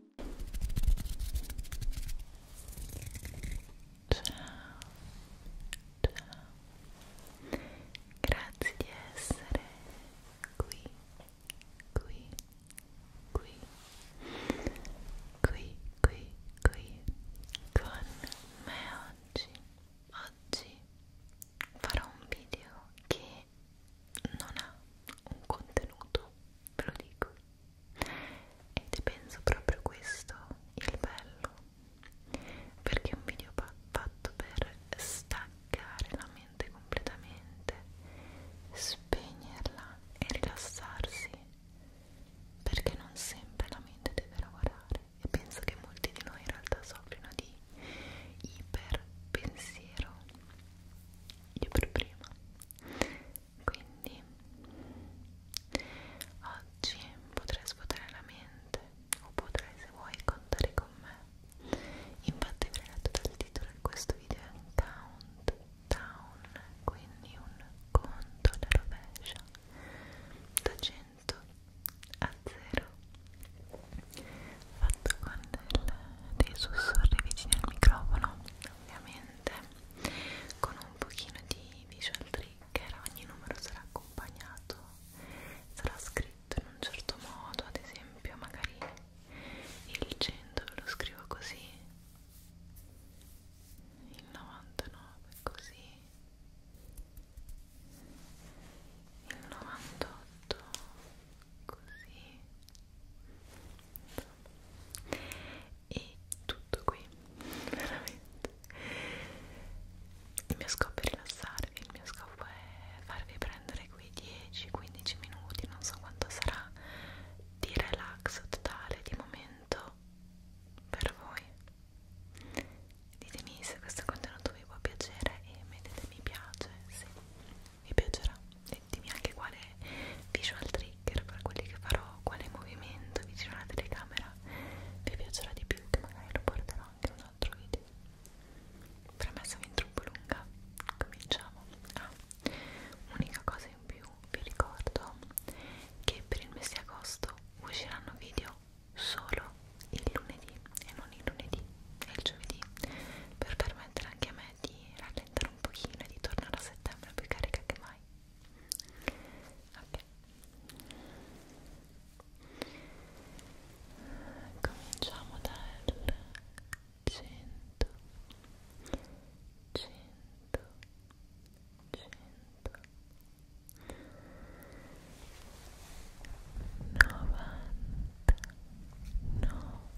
ciao grazie di essere qui qui qui qui qui qui con me oggi oggi farò un video che non ha un contenuto, ve lo dico ed penso proprio questo il bello perché è un video fatto per staccare la mente completamente spegnerla e rilassarsi perché non sempre la mente deve lavorare e penso che molti di noi in realtà soffrono di iperpensiero io per prima quindi oggi potrai svuotare la mente o potrai se vuoi contare con me infatti avrei letto dal titolo di questo video è un countdown quindi un conto alla rovescia da 100 a 0 fatto con del, dei sussurri vicini al microfono ovviamente con un pochino di visual trigger ogni numero sarà accompagnato sarà scritto in un certo modo ad esempio magari il 100 lo scrivo così il 99 così il 98 così e tutto qui veramente il mio scopo è rilassarvi il mio scopo è farvi prendere qui 10-15 minuti non so quanto sarà di relax totale di momento per voi ditemi se questo contenuto vi può piacere e mettete mi piace se vi piacerà e dimmi anche quale visual trigger per quelli che farò quale movimento vicino alla telecamera vi piacerà di più che magari lo porterò anche in un altro video premessa fin troppo lunga cominciamo ah, unica cosa in più vi ricordo che per il mese di agosto usciranno video solo il lunedì e non il lunedì e il giovedì per permettere anche a me di rallentare un pochino e di tornare a settembre più carica che mai ok cominciamo dal 100 100 100 90 90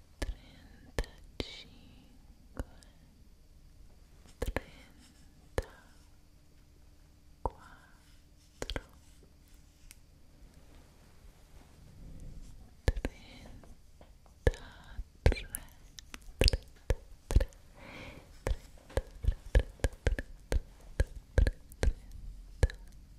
trentacinque, trentaquattro, trentatré, trentatré, trentatré, trentatré, trentatré, trentatré, trentatré,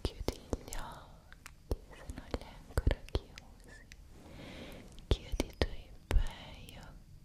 Chiudi gli occhi se non li hai ancora chiusi. Chiudi i tuoi bei occhi.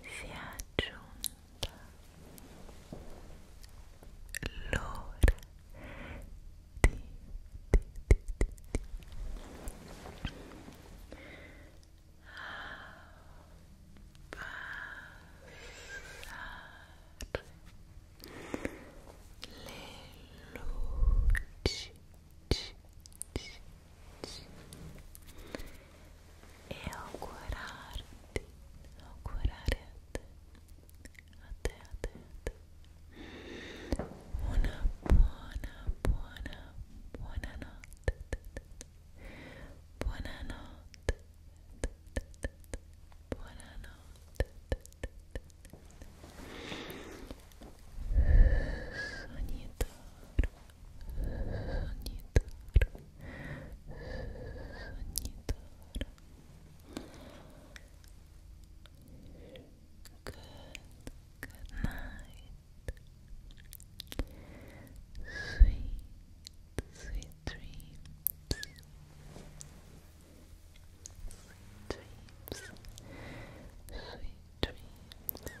si è aggiunta l'ora di, di, di, di, di. passare le luci ci, ci, e augurarti, augurare a te, a te, a te, a te, una buona, buona, buona notte, buona notte, buona notte, sognatore, Sonidor, sonidor. Good, night. Sweet, sweet dreams. Sweet dreams. Sweet dreams.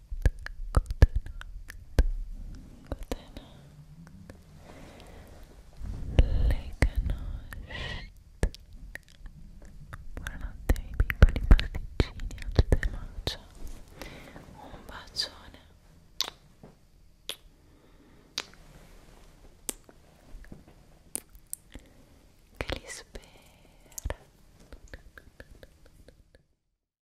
Buonanotte ai piccoli pasticcini, a tutte le mancia. Un bacione. Che li spera.